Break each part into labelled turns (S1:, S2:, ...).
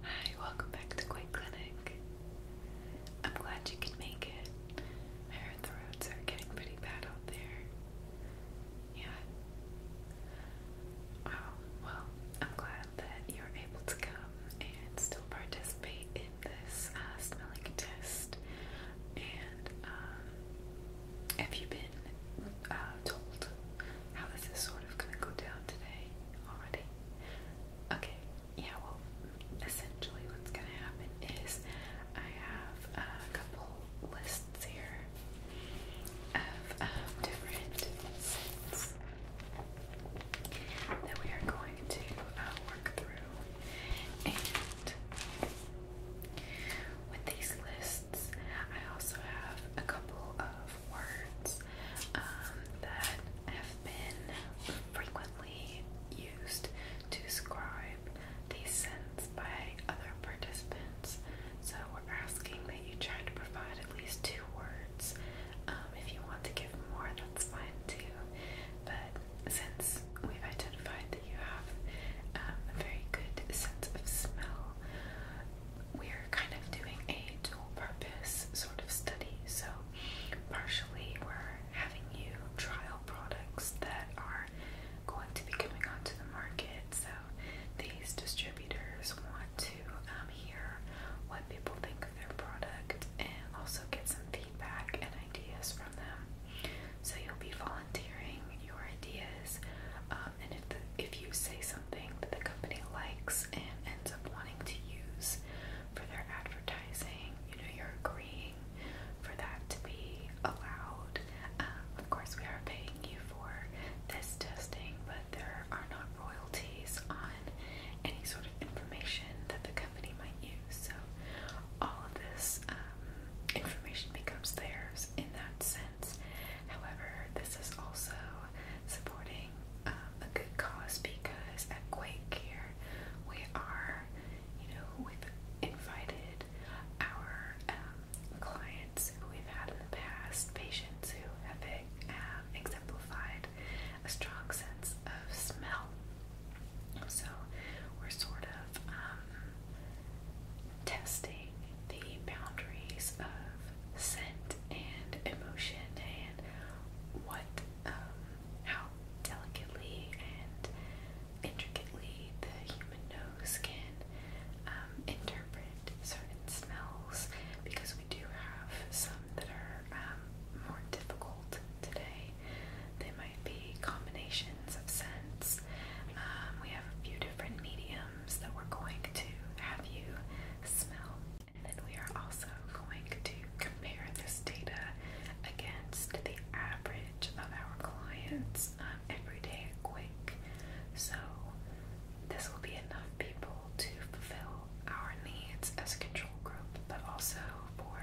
S1: Hi, welcome back to Queen Clinic. I'm glad you can make it. I heard the roads are getting pretty bad out there. Yeah. Oh, well, I'm glad that you're able to come and still participate in this uh, smelling test. And um, have you been uh, told how this is sort of gonna go down today already. Okay, yeah, well, essentially what's gonna happen is I have a couple lists here of um, different scents that we are going to uh, work through. And with these lists, lists. I also have a couple of words um, that have been frequently used to describe these scents by other participants. So we're asking that you try to provide at least two words. Um, if you want to give more, that's fine too. But since we've identified that you have um, a very good sense of smell, we're kind of doing a dual purpose sort of study. So, partially, we're having you trial products that are going to be coming onto the market. So, these distributors want to um, hear what people think of their product and also get some feedback and ideas from them. So, you'll be volunteering your ideas um, if you say something that the company likes and ends up wanting to use for their advertising, you know, you're agreeing for that to be allowed. Um, of course, we are paying you for this testing, but there are not royalties on any sort of information that the company might use. So all of this um, information becomes theirs in that sense. However, this is also supporting um, a good cause because at Quake Care we are, you know, we've invited our um, clients who we've had in the past, patients who have um, exemplified a strong sense of smell. So we're sort of um, testing the boundaries of scent and emotion and what, um, how delicately and intricately the human nose can um, interpret certain smells because we do have some that are um, more difficult today. They might be combinations of scents. Um, we have a few different mediums items that we're going to have you smell. And then we are also going to compare this data against the average of our clients' um, everyday quick. So this will be enough people to fulfill our needs as a control group, but also for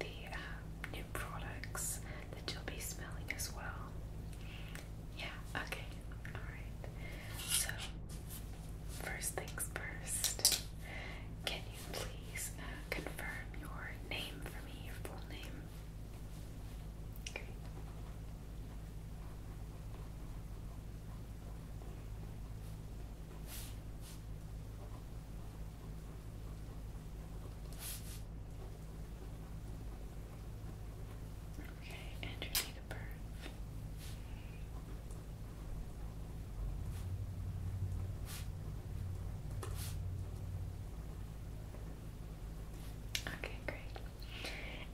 S1: the um, new products that you'll be smelling as well. Yeah, okay. Alright. So, first things first, can you please uh, confirm your name for me, your full name? Okay. Okay, and you need a birth. Okay, great.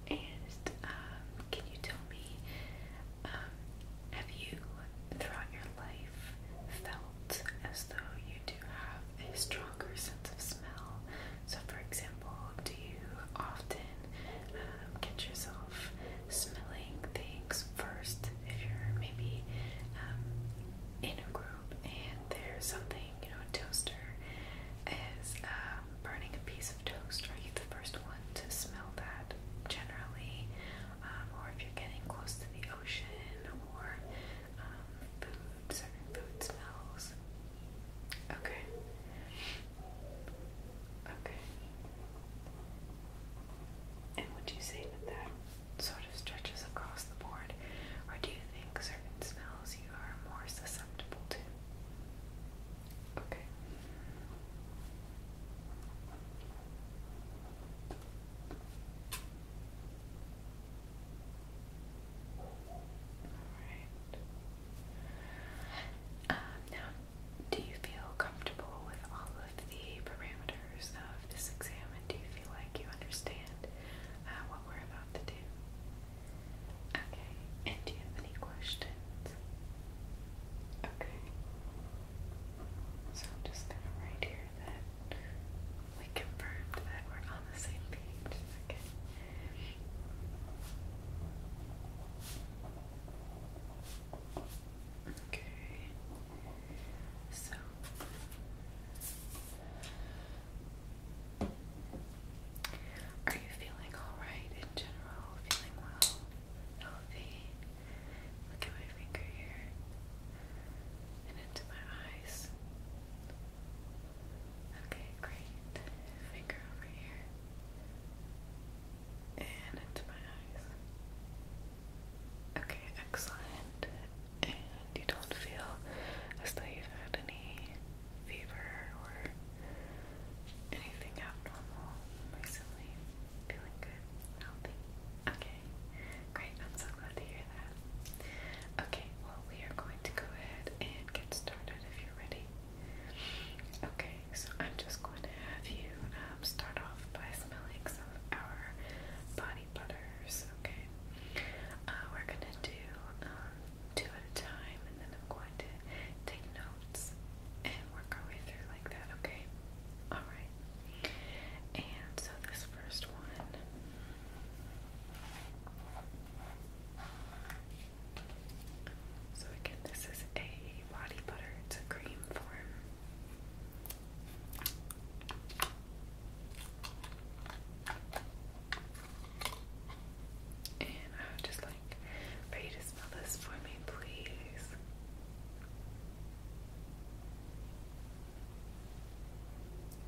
S1: And um, can you tell me, um, have you throughout your life felt as though you do have a stronger sense of smell? So, for example, example, do you often um, get yourself smelling things first if you're maybe um, in a group and there's something, you know, a toaster is um, burning a piece of toast? Are you the first one to smell that generally? Um, or if you're getting close to the ocean or um, food, certain food smells? Okay. Okay. And would you say that that sort of stretches across the board, or do you think certain smells you are more susceptible to? Okay. All right. Um, now I'm do you feel comfortable with all of the parameters of this exam and do you feel like you understand uh, what we're about to do? Okay, and do you have any questions? Okay, so I'm just gonna write here that we confirmed that we're on the same page. Okay. Okay. So are you feeling alright in general? Feeling well? Healthy? Look at my finger here and into my eyes. Okay, great. Finger over here and into my eyes. Okay, excellent. And you don't feel as though you've had any fever or anything abnormal recently. Feeling good, healthy. Okay, great. I'm so glad to hear that. Okay, well, we are going to go ahead and get started if you're ready. Okay, so I'm just going to have you um, start off by smelling some of our body butters. Okay, uh, we're gonna do um, two at a time, and then I'm going to take notes and work our way through like that. Okay, all right. And so this first one. So again, this is a body butter. It's a cream form. And I would just like for to smell this for me, please.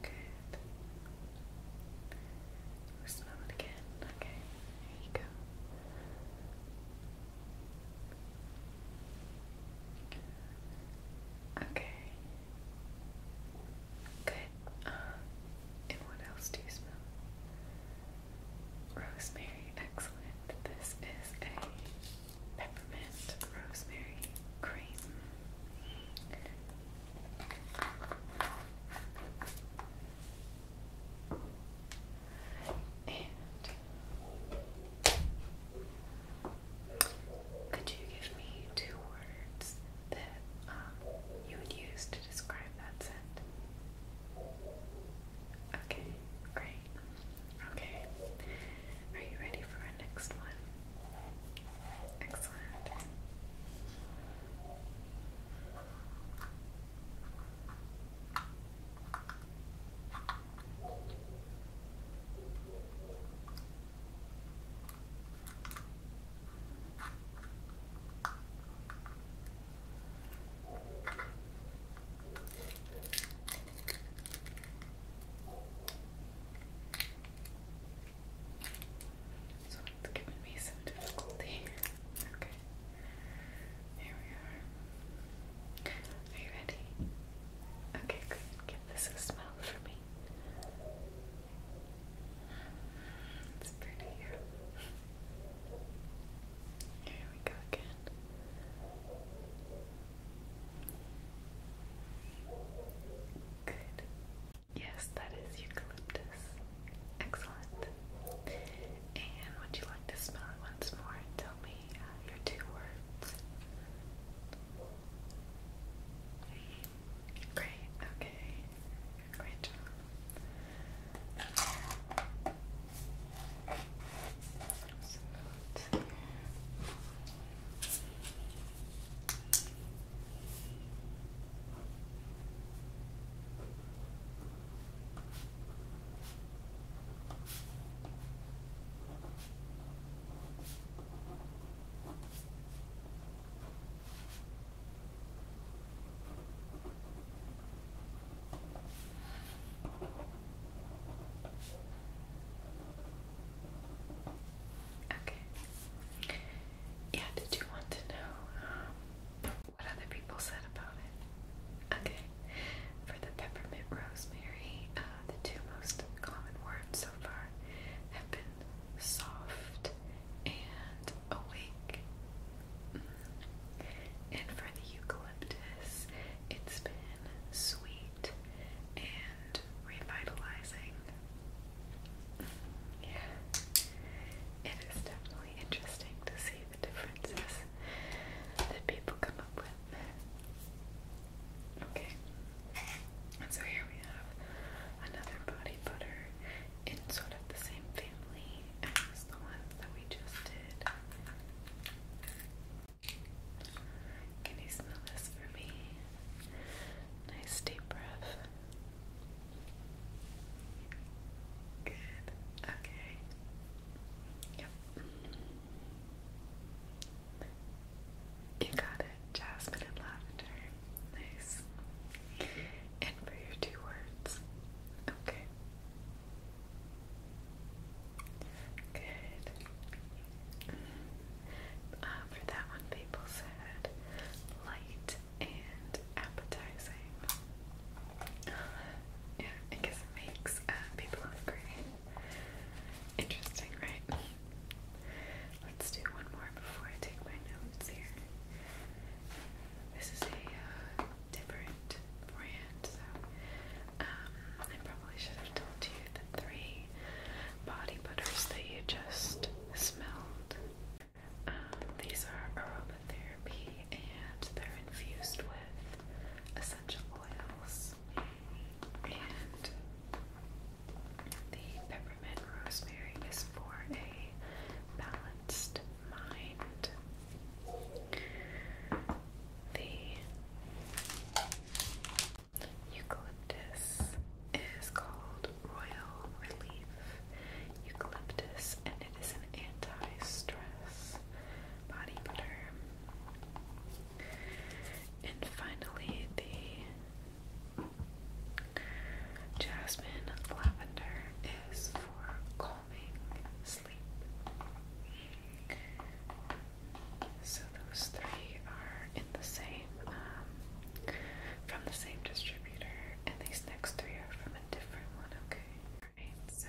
S1: Good. smell it again. Okay, there you go. Okay. Good. and what else do you smell? Rosemary. Excellent. This is a peppermint rosemary cream. And could you give me two words that um, you would use to describe that scent? Okay, great. Okay, are you ready for our next one? Excellent. So it's given me some difficulty. Okay. There we are. Are you ready? Okay, great. Give this a smell for me. It's pretty. Here we go again. Good. Yes, that is eucalyptus. Excellent. And would you like to smell it once more tell me uh, your two words? Great, okay. Great Okay. Yeah, did you want to know um, what other people said about it. Okay, for the peppermint rosemary, uh, the two most common words so far have been soft and awake. Mm-hmm. And for the eucalyptus, it's been sweet and revitalizing. Mm-hmm. Yeah, it is definitely interesting to see the differences that people come up with. Okay, so here we have another body butter in sort of the same family as the ones that we just did. Can you smell this for me? Nice deep breath. Good. Okay. Yep. You got it. Jasmine and lavender. Nice. And for your two words. Okay. Good. Uh, for that one, people said light and appetizing. Yeah, I guess it makes uh, people hungry. Interesting, right? Let's do one more before I take my notes here. This is a uh, different brand, so um, I probably should have told you the three body butters that you just smelled. Um, these are aromatherapy and they're infused with essential oils and the peppermint rosemary is for a balanced mind. The eucalyptus is called Royal Relief. Eucalyptus it is an anti-stress body butter. And finally, the jasmine lavender is for calming sleep. So those three are in the same, um, from the same distributor, and these next three are from a different one, okay? so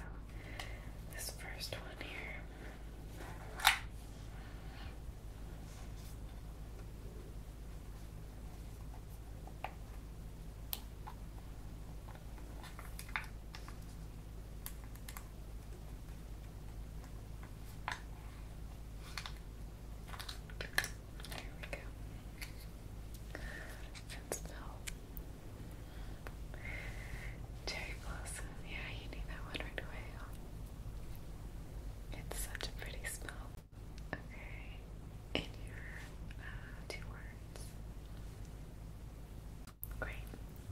S1: this first one here. There we go. And smell Cherry blossom. Yeah, you need that one right away. It's such a pretty smell. Okay, in your uh, two words. Great,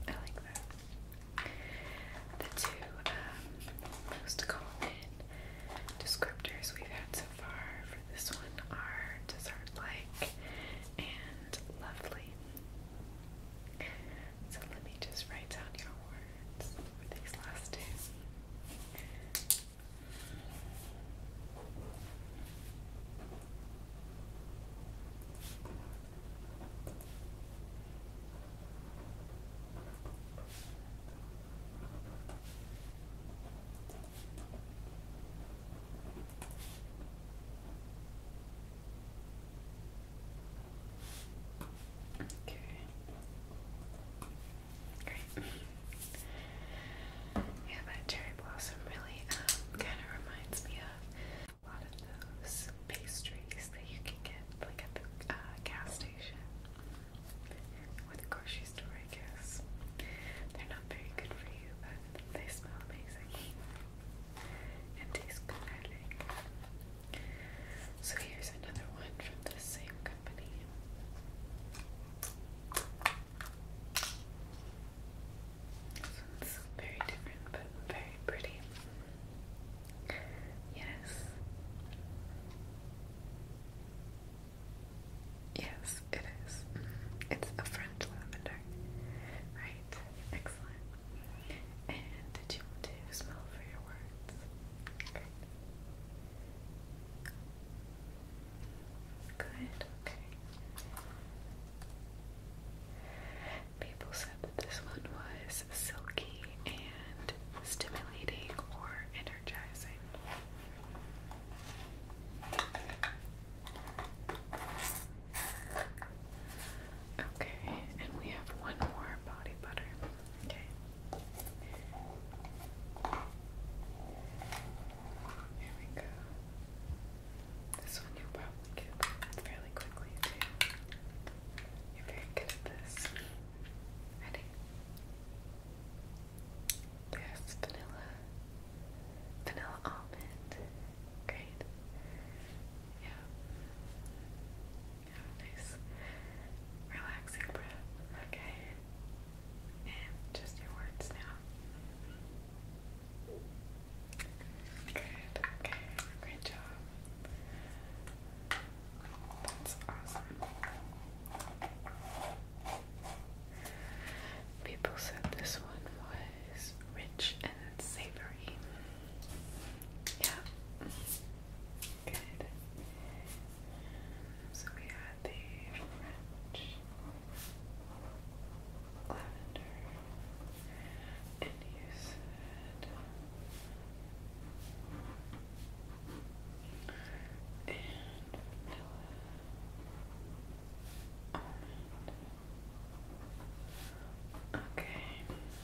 S1: I like that. The two um, most common descriptors we've had so far for this one are dessert like and lovely. So let me just write down your words for these last two. Okay. Great. Yeah, that cherry blossom really um, kind of reminds me of a lot of those pastries that you can get like at the uh, gas station or the grocery store, I guess. They're not very good for you, but they smell amazing and taste good, I think. So here's another one from the same company. This one's very different but very pretty. Yes. Yes, it is. It's a French lavender. Right, excellent. And did you want to smell for your words? Great. Good, okay. People said that this one was silky and stimulating or energizing. Okay, and we have one more body butter. Okay. Here we go. This one you probably get fairly quickly too. You're very good at this. Ready? There's vanilla. Vanilla almond. Great. Yeah. Have nice relaxing breath. Okay. And just your words now. Good. Okay. Great job. That's awesome. People said this one was was rich and savory. Yeah. Good. So we had the French lavender, and And vanilla almond. Okay,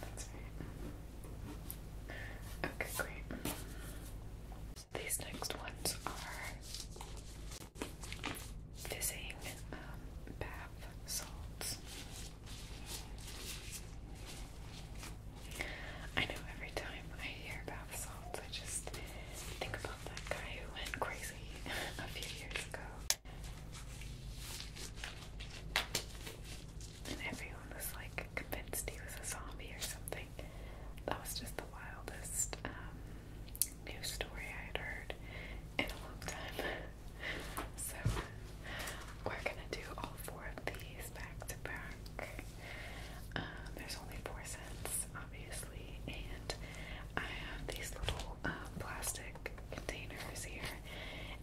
S1: that's right. Okay, great. So these next ones are fizzing um, bath salts. I know every time I hear bath salts, I just think about that guy who went crazy a few years and everyone was like convinced he was a zombie or something. That was just the wildest um, news story I had heard in a long time. so we're gonna do all four of these back to back. Um, there's only four cents, obviously and I have these little uh, plastic containers here,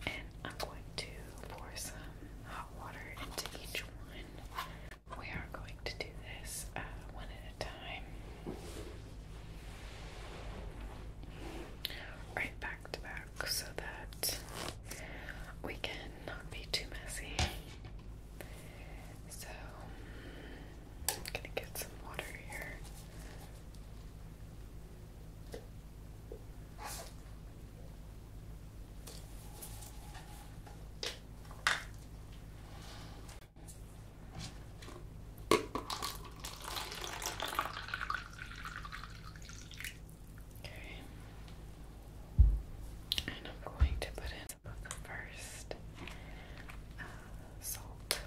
S1: and I'm going to pour some hot water into each one. We are going to do this uh, one at a time. Right back to back so that we can not be too messy. So, I'm gonna get some water here. Okay. And I'm going to put in some of first uh, salt. Okay.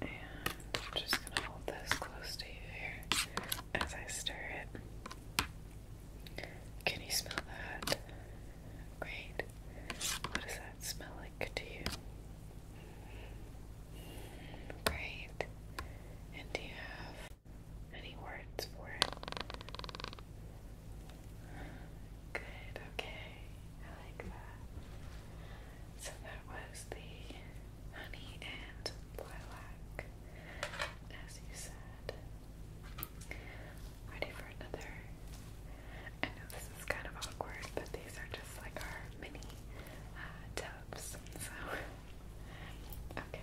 S1: And I'm just going to hold this close to you here as I stir it. Can you smell that? Great. What does that smell like to you? Great. And do you have any words for it. Good, okay. I like that. So that was the honey and lilac, as you said. Ready for another? I know this is kind of awkward, but these are just like our mini uh, tubs, so Okay.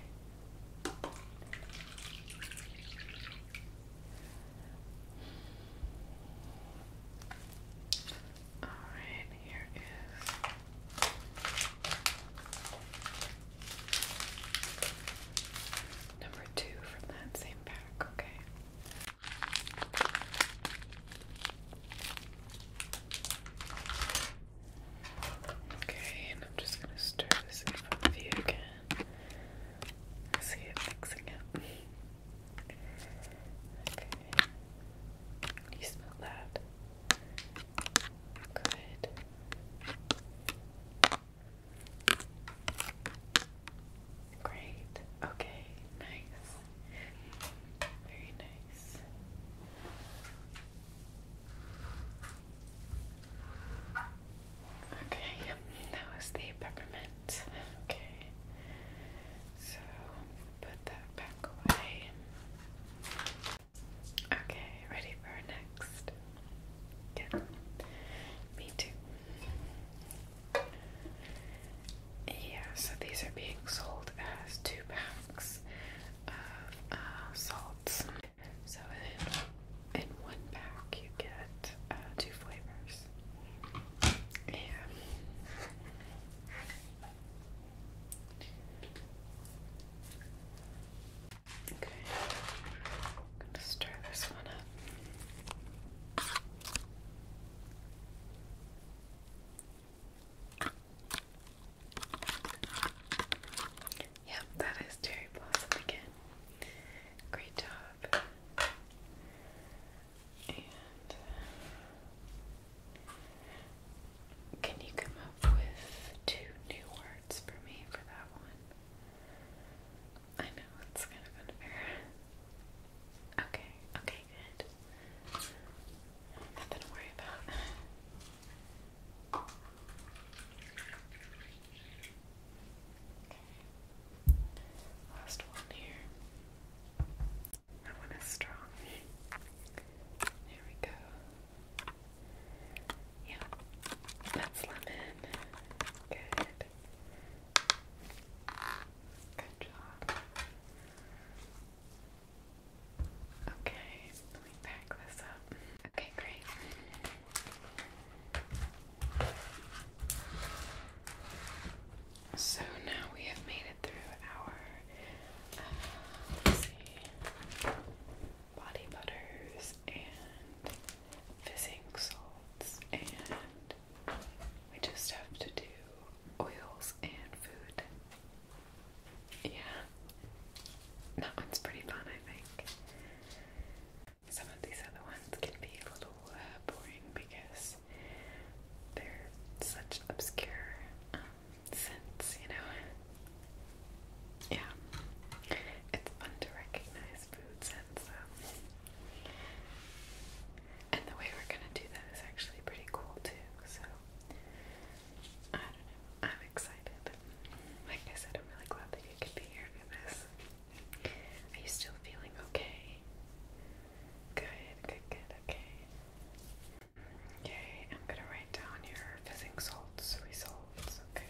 S1: All right, here is number two from that same pack, okay? Okay, and I'm just gonna stir this in front of you again. See it mixing up. Okay. You smell that? Good. Great. Okay, nice. Very nice. Okay, that was the peppermint. Okay, so put that back away. Okay, ready for next. Yeah, me too. Yeah, so these are being sold sold has two packs of uh, salts. So in, in one pack you get uh, two flavors. Yeah. Okay, I'm gonna stir this one up. Yep, that is Cherry Blossom again. Great job. And can you come up with two new words for me for that one? I know it's kind of unfair. Okay, okay, good. Nothing to worry about. Last one here. That one is strong. There we go. Yeah, that's lemon. Good. Good job. Okay, let me pack this up. Okay, great. So now we have made it through our uh, body butters and fizzing salts, and we just have to do oils and food yeah. That one's pretty fun, I think. Some of these other ones can be a little uh, boring because they're such obscure um, scents, you know? Yeah. It's fun to recognize food scents, though. And the way we're gonna do that is actually pretty cool, too, so I am excited. Like I said, I'm really glad that you could be here for this. Are you still feeling okay? Good, good, good, okay. Okay, I'm gonna write down your fizzing salts results, Okay.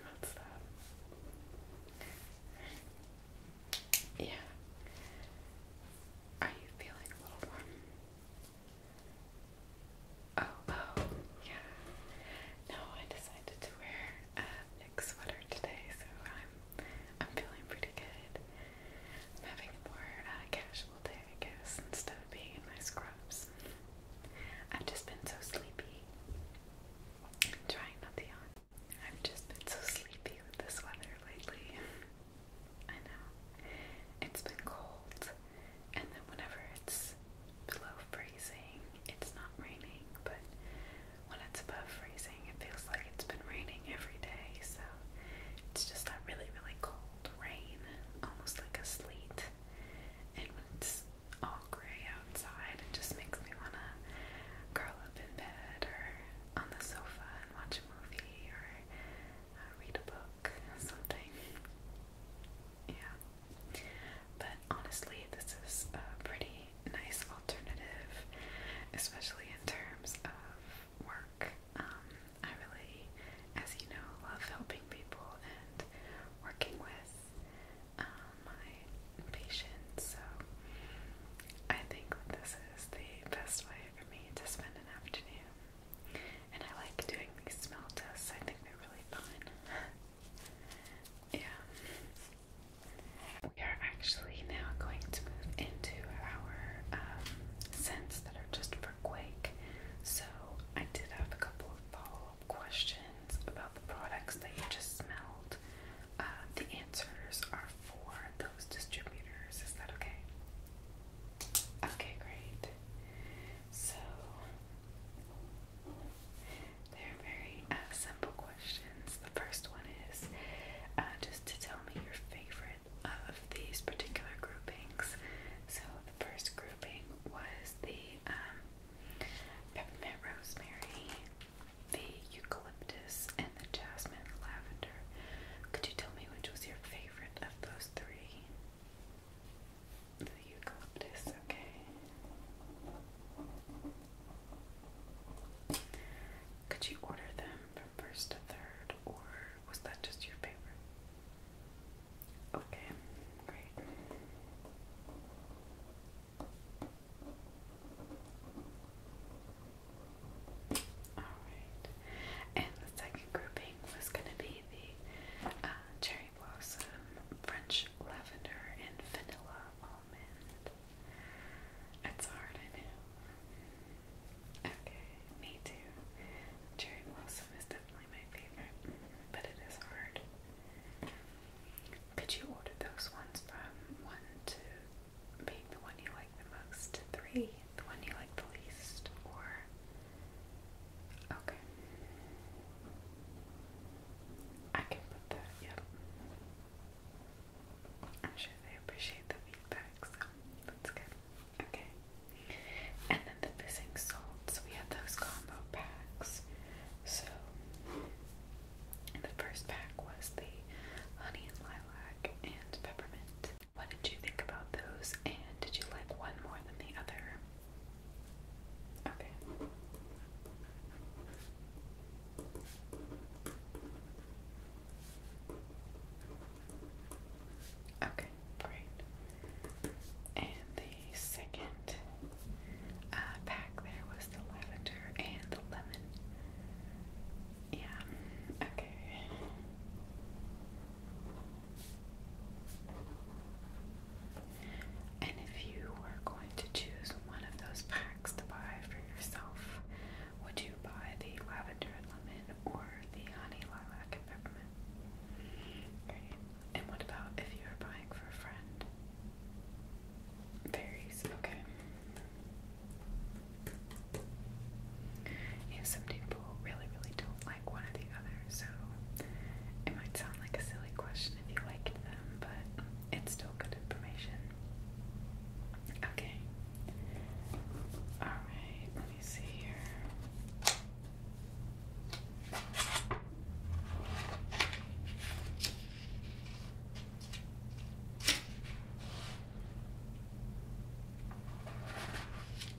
S1: What's Yeah. Are you feeling a little warm? Oh, oh, yeah. No, I decided to wear a um, Nick sweater today, so I'm I'm feeling pretty good. I'm having a more uh, casual day, I guess, instead of being in my scrubs. I've just been so sleepy. trying not to yawn. I've just been so sleepy with this weather lately. I know. It's been cold, and then whenever it's it's below freezing, it's not raining, but when it's above freezing, it feels like it's been raining every day. So it's just that really, really cold rain, almost like a sleet. And when it's all gray outside, it just makes me want to curl up in bed or on the sofa and watch a movie or uh, read a book or something. Yeah, but honestly, this is a pretty nice alternative, especially in terms of work. Um, I really, as you know, love helping people and working with uh, my patients, so I think that this is the best way for me to spend an afternoon. And I like doing these smell tests, I think they're really fun. Yeah. We are actually now going to move into our um, scents that are just for Quake. So I did have a couple of follow-up questions about the products that you just smelled. Uh, the answers are for those distributors. Is that okay? Okay, great. So they're very uh, simple questions. The first one is uh, just to tell me your favorite of these particular groupings. So the first grouping was the um, peppermint rosemary, the eucalyptus, and the jasmine lavender. Could you tell me which was your favorite of those three? the eucalyptus, okay. Could you order them from first to third, or was that just your favorite? Okay, great. Alright, and the second grouping was going to be the uh, cherry cherry blossom, French lavender, and vanilla almond. That's hard, I know. Okay, me too. Cherry blossom is definitely my favorite, but it is hard. Could you order those ones from one to being the one you like the most three, the one you like the least, or okay. I can put that, yep. I'm sure they appreciate the feedback, so that's good. Okay. And then the missing salts, we had those combo packs. So the first pack was the honey and lilac and peppermint. What did you think about those? And did you like one more than the other? Okay. Okay, great. And the second uh, pack there was the lavender and the lemon. Yeah, okay. And if you were going to choose one of those packs to buy for yourself, would you buy the lavender and lemon or the honey lilac and peppermint? Okay. And what about if you're buying for a friend? Varies, okay. Yeah, some people really, really don't like one or the other, so it might sound like a silly question, if you liked them, but it's still good information. Okay. Alright, let me see here.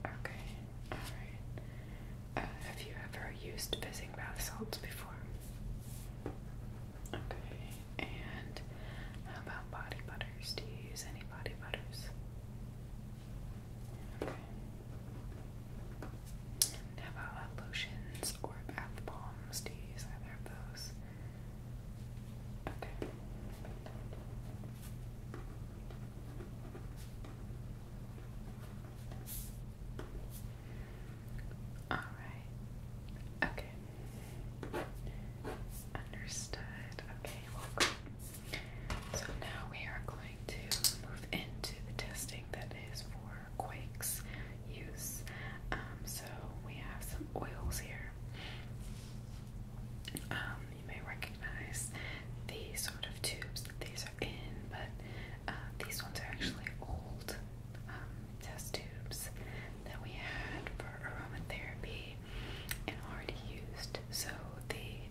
S1: Okay, alright. Uh, have you ever used fizzing bath salts before? Okay, and how about body butters? Do you use any body butters? Okay. And how about uh, lotions or bath bombs? Do you use either of those? Okay. All right. Okay. Understood. Okay, So now we are going to move into the testing that is for quakes use. Um, so we have some oils here. Um, you may recognize these sort of tubes that these are in, but uh, these ones are actually old. Um, test tubes that we had for aromatherapy and already used, so the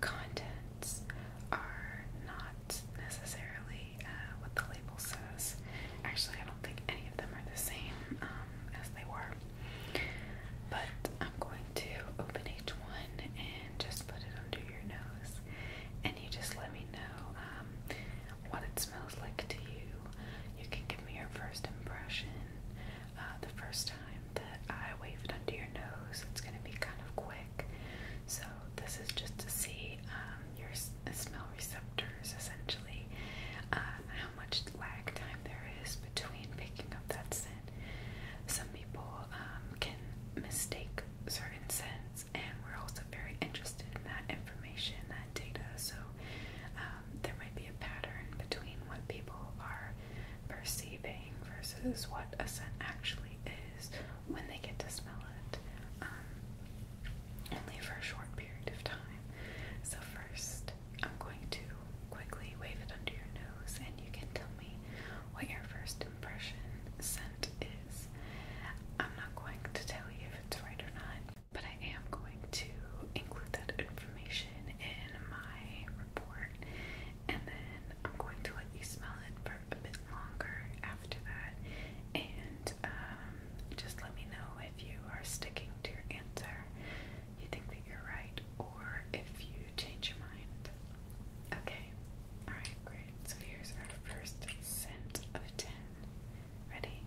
S1: contents are not necessarily uh, what the label says. Actually, I don't think any of them are the same um, as they were. But I'm going to open each one and just put it under your nose, and you just let me know. Uh, um, what it smells like to you. You can give me your first impression. Uh, the first time that I wave it under your nose, it's going to be kind of quick. So this is just to see um, your smell receptors, essentially, uh, how much lag time there is between picking up that scent. Some people um, can mistake certain scents and we're also very interested in that information, that data. So um, there might be a pattern between what people are perceiving versus what a scent actually is when they get to smell it, um, only for a short period of time. So first, I'm going to quickly wave it under your nose, and you can tell me what your first impression scent that is. I'm not going to tell you if it's right or not, but I am going to include that information in my report, and then I'm going to let you smell it for a bit longer after that, and um, just let me know if you are sticking to your answer, you think that you're right, or if you change your mind. Okay, Alright, great. So here's our first scent of 10. Ready?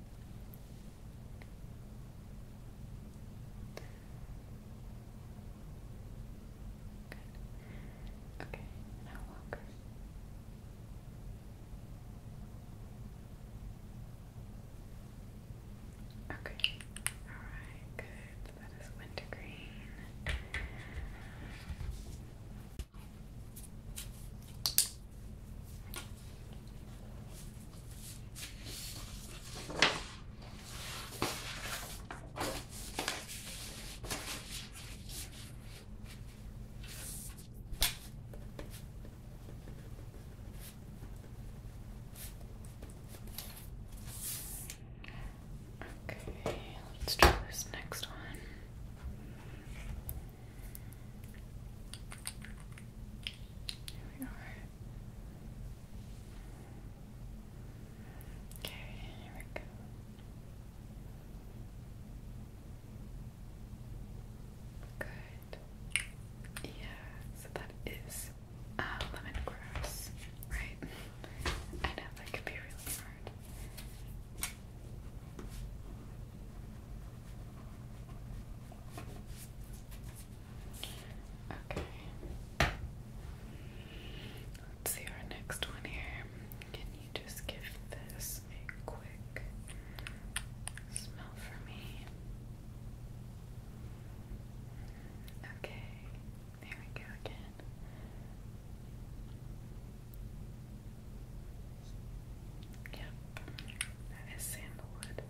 S1: Good. Okay, now longer. Okay. Alright, good. That is wintergreen. Okay, let's try this next one. There we are. Okay, here we go. Good. Yeah, so that is uh, lemongrass, right? I know that could be really hard. Okay. Let's see our next one here. Can you just give this a quick smell for me? Okay, there we go again. Yep, that is sandalwood.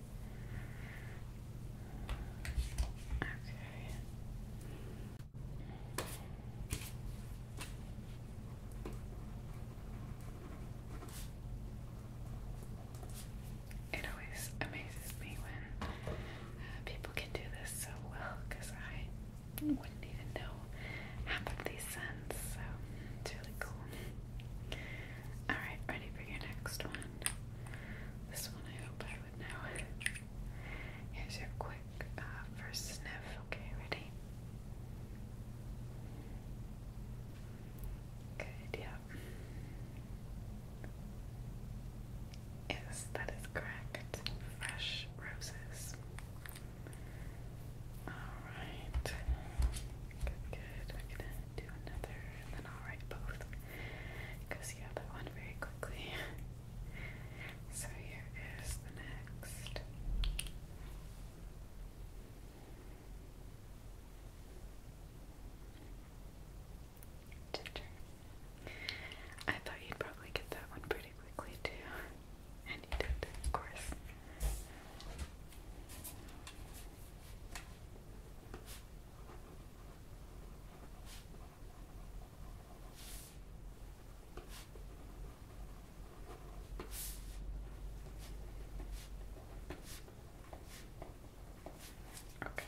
S1: Okay. It always amazes me when uh, people can do this so well because I wouldn't even know half of these scents, so it's really cool. Alright, ready for your next one? This one I hope I would know. Here's your quick uh, first sniff. Okay, ready? Good, yeah. Yes, that is correct. Fresh roses. Alright. Good, good. we gonna do another and then I'll write both. Because you have that one very quickly. so here is the next. Ginger. I thought you'd probably get that one pretty quickly too. And he did, of course. Okay.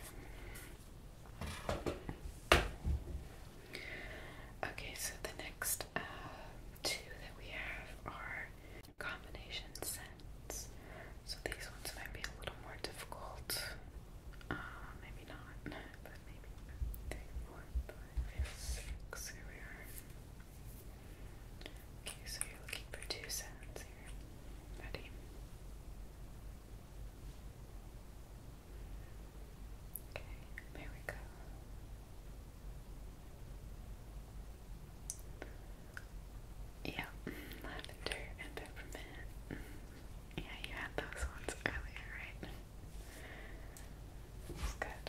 S1: Okay, so the next uh, two that we have are combination scents. So these ones might be a little more difficult. Uh, maybe not, but maybe. Three, four, five, six. Here we are. Okay, so you're looking for two scents here. Ready? Okay, there we go. Yeah, lavender and peppermint. Yeah, you had those ones earlier, right? That good.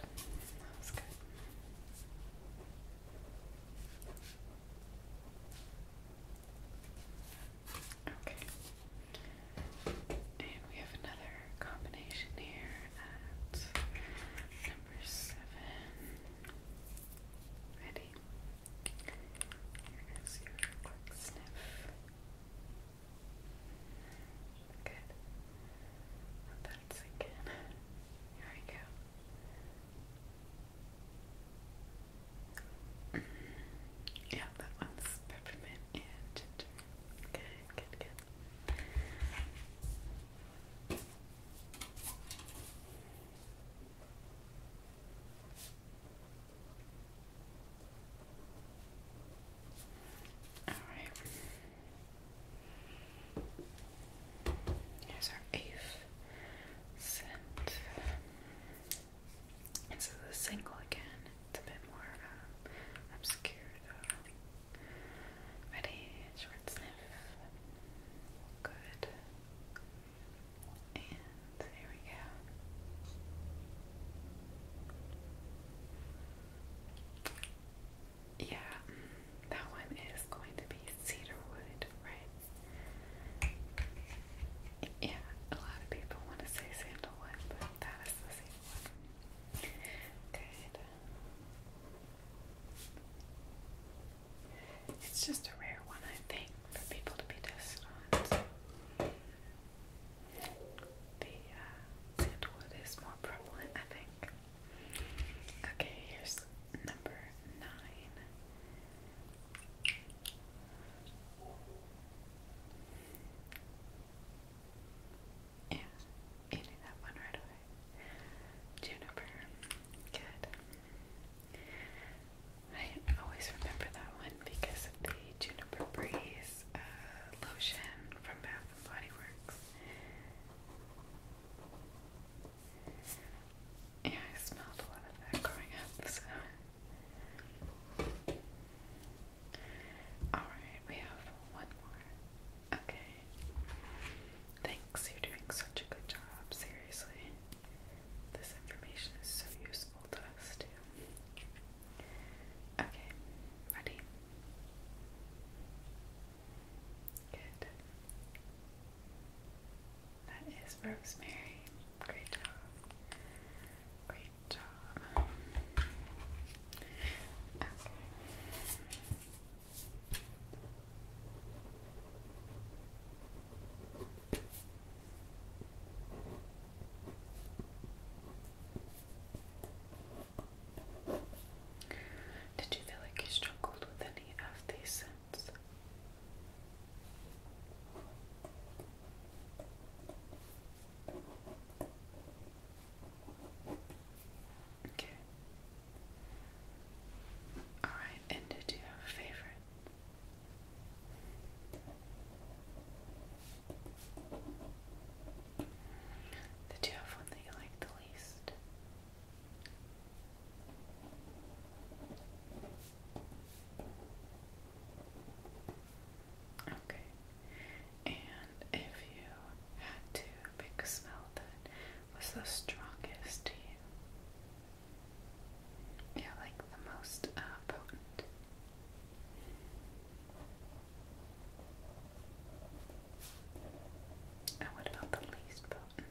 S1: That good. Okay. And we have another combination here at number seven. Ready? Here is your quick sniff. Good. Let that sink Here we go. yeah, that one's peppermint and ginger. Good, good, good. All right. Here's our eighth scent. And so single again, it's a bit more um, obscure though. Ready? Short sniff. Good. And here we go. Yeah, that one is going to be cedarwood, right? Yeah, a lot of people want to say sandalwood, but that is the same Good. It's just a rare one, I think, for people to be tested on. the uh, is more prevalent, I think. Okay, here's number nine. Yeah, you that one right away. Juniper. Good. I always remember that one because of the Juniper Breeze uh, lotion from Bath and Body Works. Yeah, I smelled a lot of that growing up, so. Alright, we have one more. Okay. Thanks, you're doing such a good job, seriously. This information is so useful to us, too. Okay, ready? Good. That is Rosemary. Great job. Great job. Okay. Did you feel like you struggled with any of these scents? Okay. Alright, and did you have a favorite? Did you have one that you liked the least? Okay. And if you had to pick a smell that was the strongest to you, yeah, like the most uh, potent. And what about the least potent?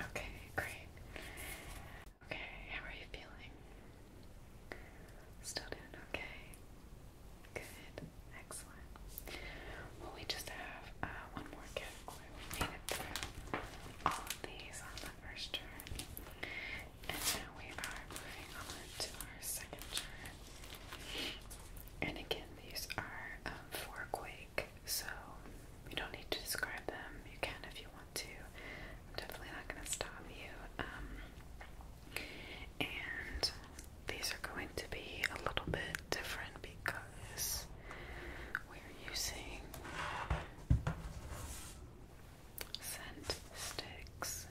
S1: Okay, great. Okay, how are you feeling? Still doing okay? Good, excellent. we just have uh, one more category. We made it through all of these on the first turn. And now we are moving on to our second turn. And again, these are um, four quick so you don't need to describe them. You can if you want to. I'm definitely not going to stop you. Um, and these are going to be a little bit different because we're using scent sticks.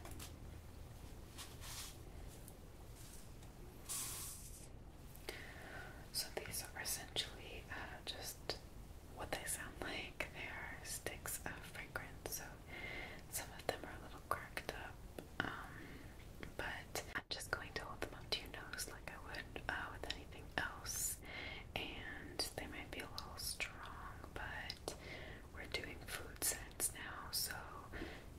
S1: So these are essentially uh, just what they sound like. They are sticks of fragrance, so some of them are a little cracked up, um, but I'm just going to hold them up to your nose like I would uh, with anything else. And they might be a little strong, but we're doing food scents now, so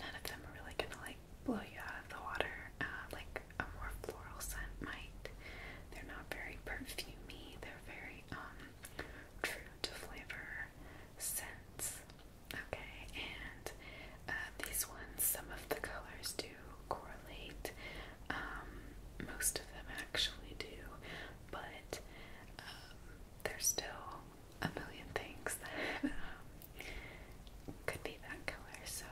S1: none of them are really gonna like blow you out of the water uh, like a more floral scent might. They're not very perfumey, they're very um, true to flavor scents. Okay, and uh, these ones, some of the colors do correlate. Um, most of them actually do, but um, there's still a million things that could be that color, so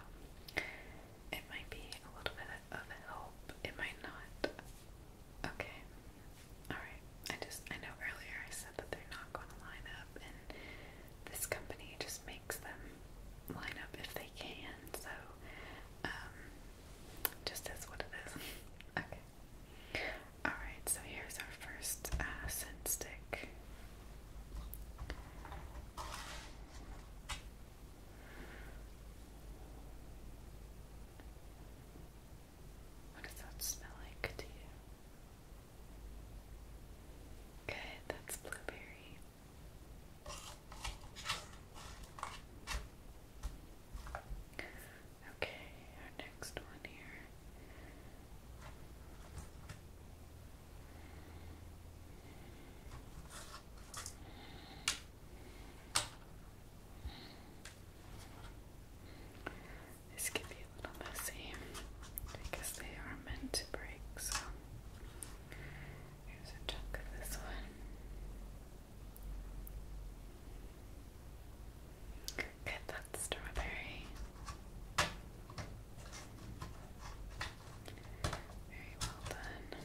S1: it might be a little bit of help. It might not. Okay. Alright. I just, I know earlier I said that they're not going to line up, and this company just makes them line up if they can, so, um, just is what it is. okay. Alright, so here's our first uh, scent stick. What does that smell like to you? Good, that's blueberry. Okay, our next one here. This can be a little messy because they are meant to break, so here's a chunk of this one. Okay, that's strawberry. Very well done.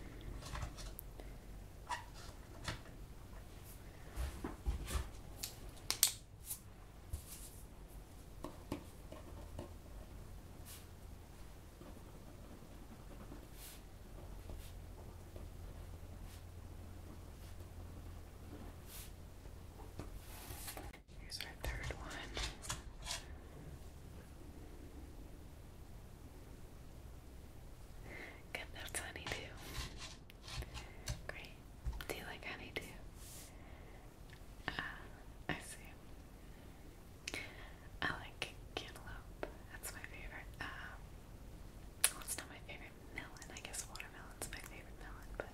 S1: Here's our third one. Good, that's honeydew. Great. Do you like honeydew? Ah, I see. I like cantaloupe. That's my favorite. Um, it's not my favorite melon. I guess watermelon's my favorite melon, but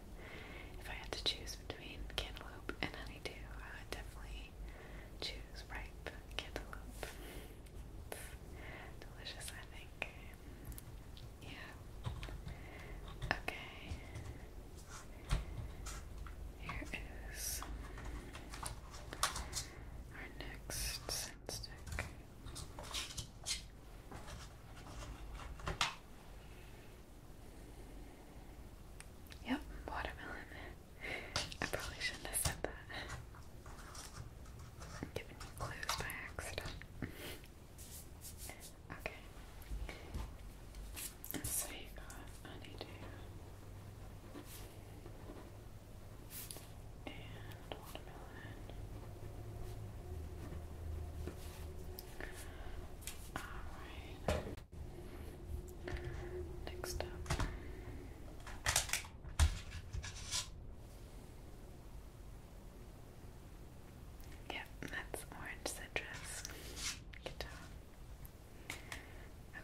S1: if I had to choose between cantaloupe and honeydew, I would definitely choose ripe cantaloupe delicious, I think. Yeah. Okay. Here is our next scent stick. Yep, watermelon. I probably shouldn't have said that. giving you clues by accident. okay. So you got honeydew and watermelon. Alright. Next up. Yep, that's orange citrus.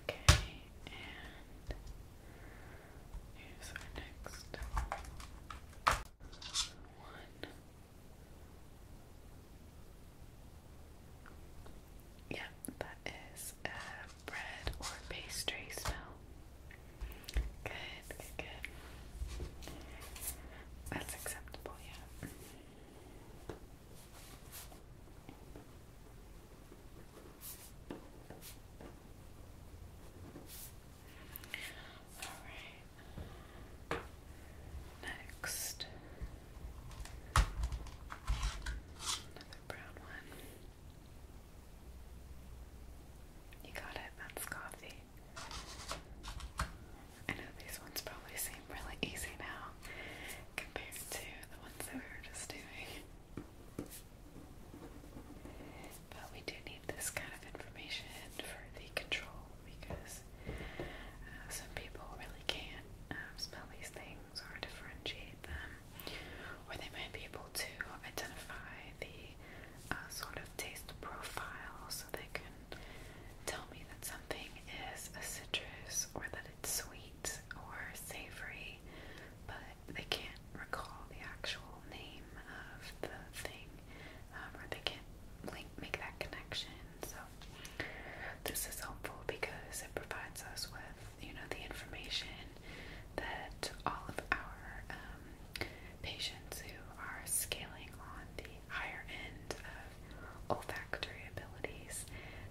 S1: Okay, and here's our next one. Yep, that is um, bread or pastry smell? Good, good, good. That's acceptable, yeah. All right. Next, another brown one. You got it, that's coffee. I know these ones probably seem really easy now compared to the ones that we were just doing. But we do need this kind of information for the control because uh, some people really can't um, spell these things or differentiate them or they might be able to identify the uh, sort of taste profile so they can tell me that something is a citrus or that it's sweet or savory, but they can't recall the actual name of the thing um, or they can't make that connection. So, this is helpful because it provides us with, you know, the information that all of our um, patients who are scaling on the higher end of olfactory abilities,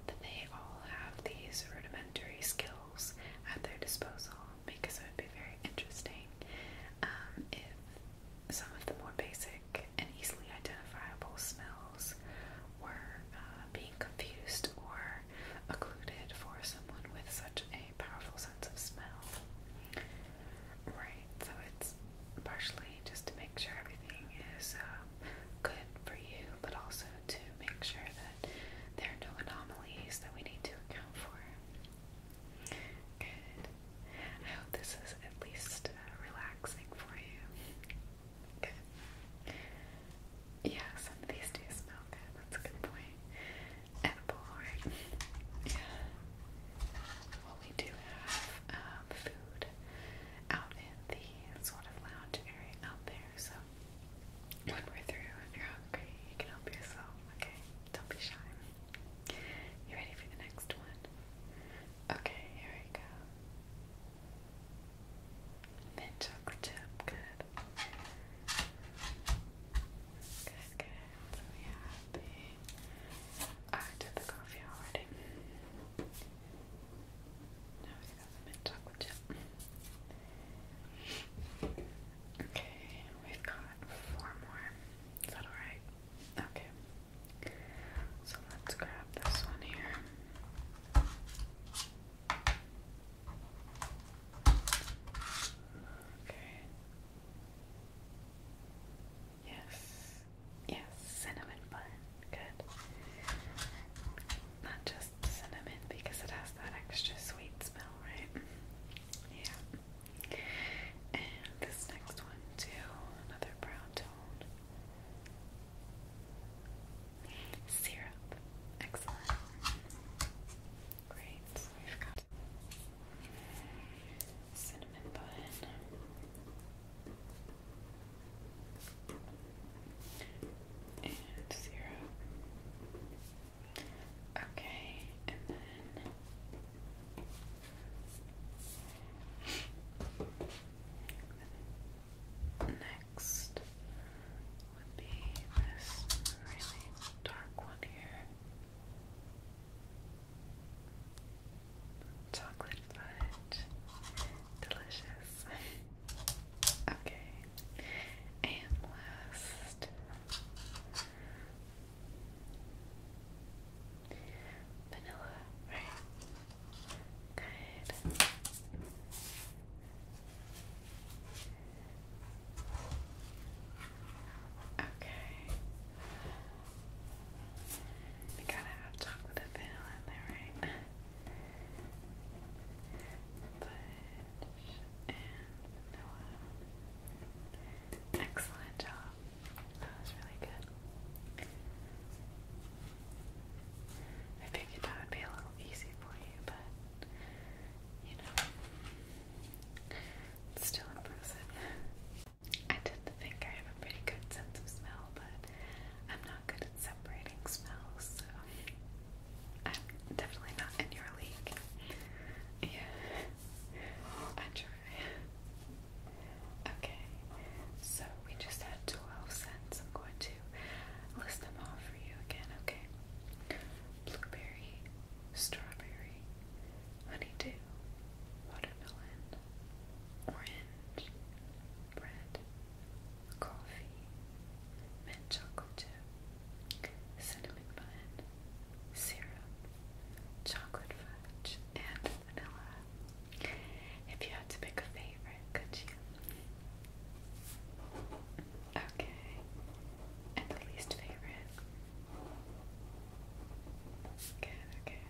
S1: that they all have these rudimentary skills at their disposal because it would be very interesting um, if some of the more basic and easily identifiable smells were uh, being confused or occluded for someone with such a powerful sense of smell. Right, so it's partially just to make sure everything is um, good for you, but also to make sure that there are no anomalies that we need to account for. Good. I hope this is at least uh, relaxing for you. Good. Yeah, some of these do smell good. That's a good point. Edible, right? Yeah. Well, we do have um, food out in the sort of lounge area out there, so when we're through, if you're hungry, you can help yourself, okay? Don't be shy. You ready for the next one? Okay, here we go. Mint chocolate chip, good. Good, good. So we have the coffee already. Now we got the mint chocolate chip. Okay, we've got four more. Is that alright? Okay. So let's grab this one here. Okay. Yes. Yes, cinnamon bun. Good. Not just cinnamon because it has that extra sweet smell, right? Yeah. And this next one too, another brown tone. Syrup. Excellent. Great. We've got cinnamon bun. And syrup. Okay, and then next next would be this really dark one here. Chocolate fudge. Delicious. okay. And last vanilla, right? Good. Okay. You gotta have chocolate vanilla right? Fudge and vanilla. Excellent job. That was really good. I figured that would be a little easy for you, but you know, still improves I tend to think I have a pretty good sense of smell, but I'm not good at separating smells, so I'm definitely not in your league. Yeah, I try. Okay, so we just had 12 cents. I'm going to list them all for you again, okay? blueberry, strawberry, honeydew, watermelon, orange, bread, coffee, mint chocolate chip, cinnamon bun, syrup, chocolate fudge, and vanilla. If you had to pick a favorite, could you? Okay. And the least favorite. Good, okay.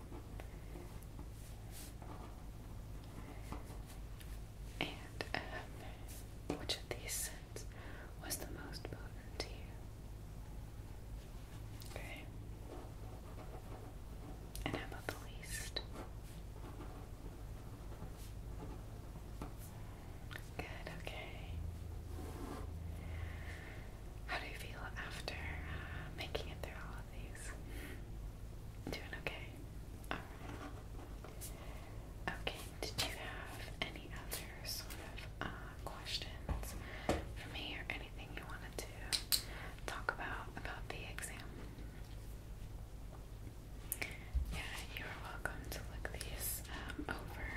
S1: And um, which of these scents was the most potent to you? Okay. And how about the least? Good, okay. How do you feel after uh, making it through all of these? Doing okay? Alright. Okay, did you have any other sort of uh, questions for me or anything you wanted to talk about about the exam? Yeah, you're welcome to look these um, over.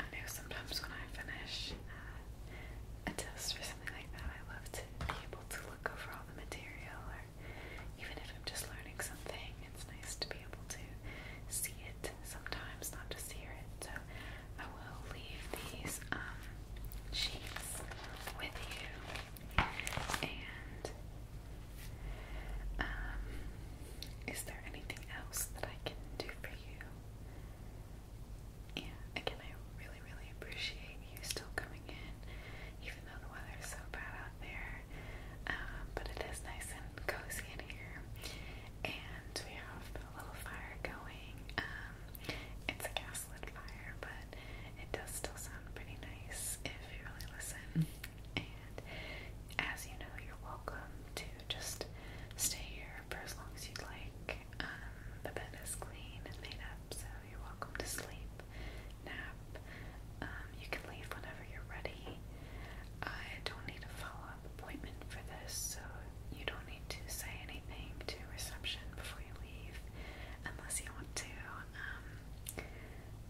S1: I know sometimes when I finish uh, a test or something like that, I love to be able to look over all the material, or even if I'm just learning something, it's nice to be able to see it sometimes, not just hear it. So I will leave these um, sheets with you, and um, is there anything else that I can do for you? Yeah, again, I really, really appreciate you still coming in, even though the weather is so bad out there. Um, but it is nice and cozy in here, and we have a little fire going. Um, it's a gas lit fire, but it does still sound pretty nice if you really listen. And as you know, you're welcome to just stay here for as long as you'd like. Um, the bed is clean and made up, so you're welcome to sleep, nap. Um, you can leave whenever you're ready. I don't need a follow up appointment for this, so you don't need to say anything to reception before you leave unless you want to. Um,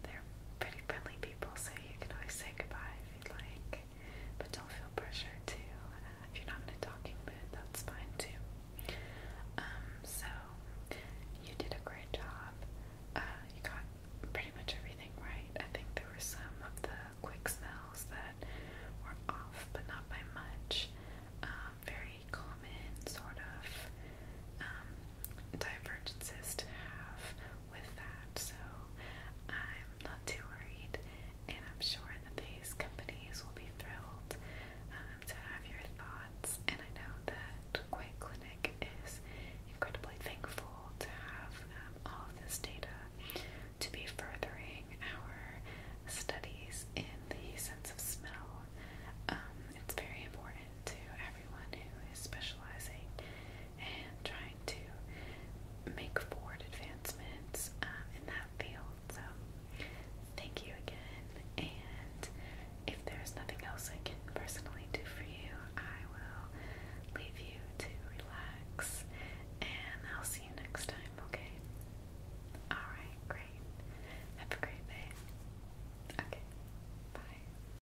S1: they're pretty friendly people, so you can always say goodbye if you'd like. But don't feel pressure to, uh, if you're not in a talking mood, that's fine too. Um, so, you did a great job. Uh, you got pretty much everything right. I think there were some of the quick smells that were off, but not by much. Um, very common sort of um, divergences to have with that, so I'm not too worried, and I'm sure that these companies will be thrilled um, to have your thoughts. And I know that Quake Clinic is incredibly thankful to have um, all of this data to be furthering our studies in the sense of smell. Um, it's very important to everyone who is specializing and trying to make forward advancements um, in that field. So, thank you again. And if there's nothing else I can personally do for you, I will leave you to relax and I'll see you next time, okay? Alright, great. Have a great day. Okay, bye.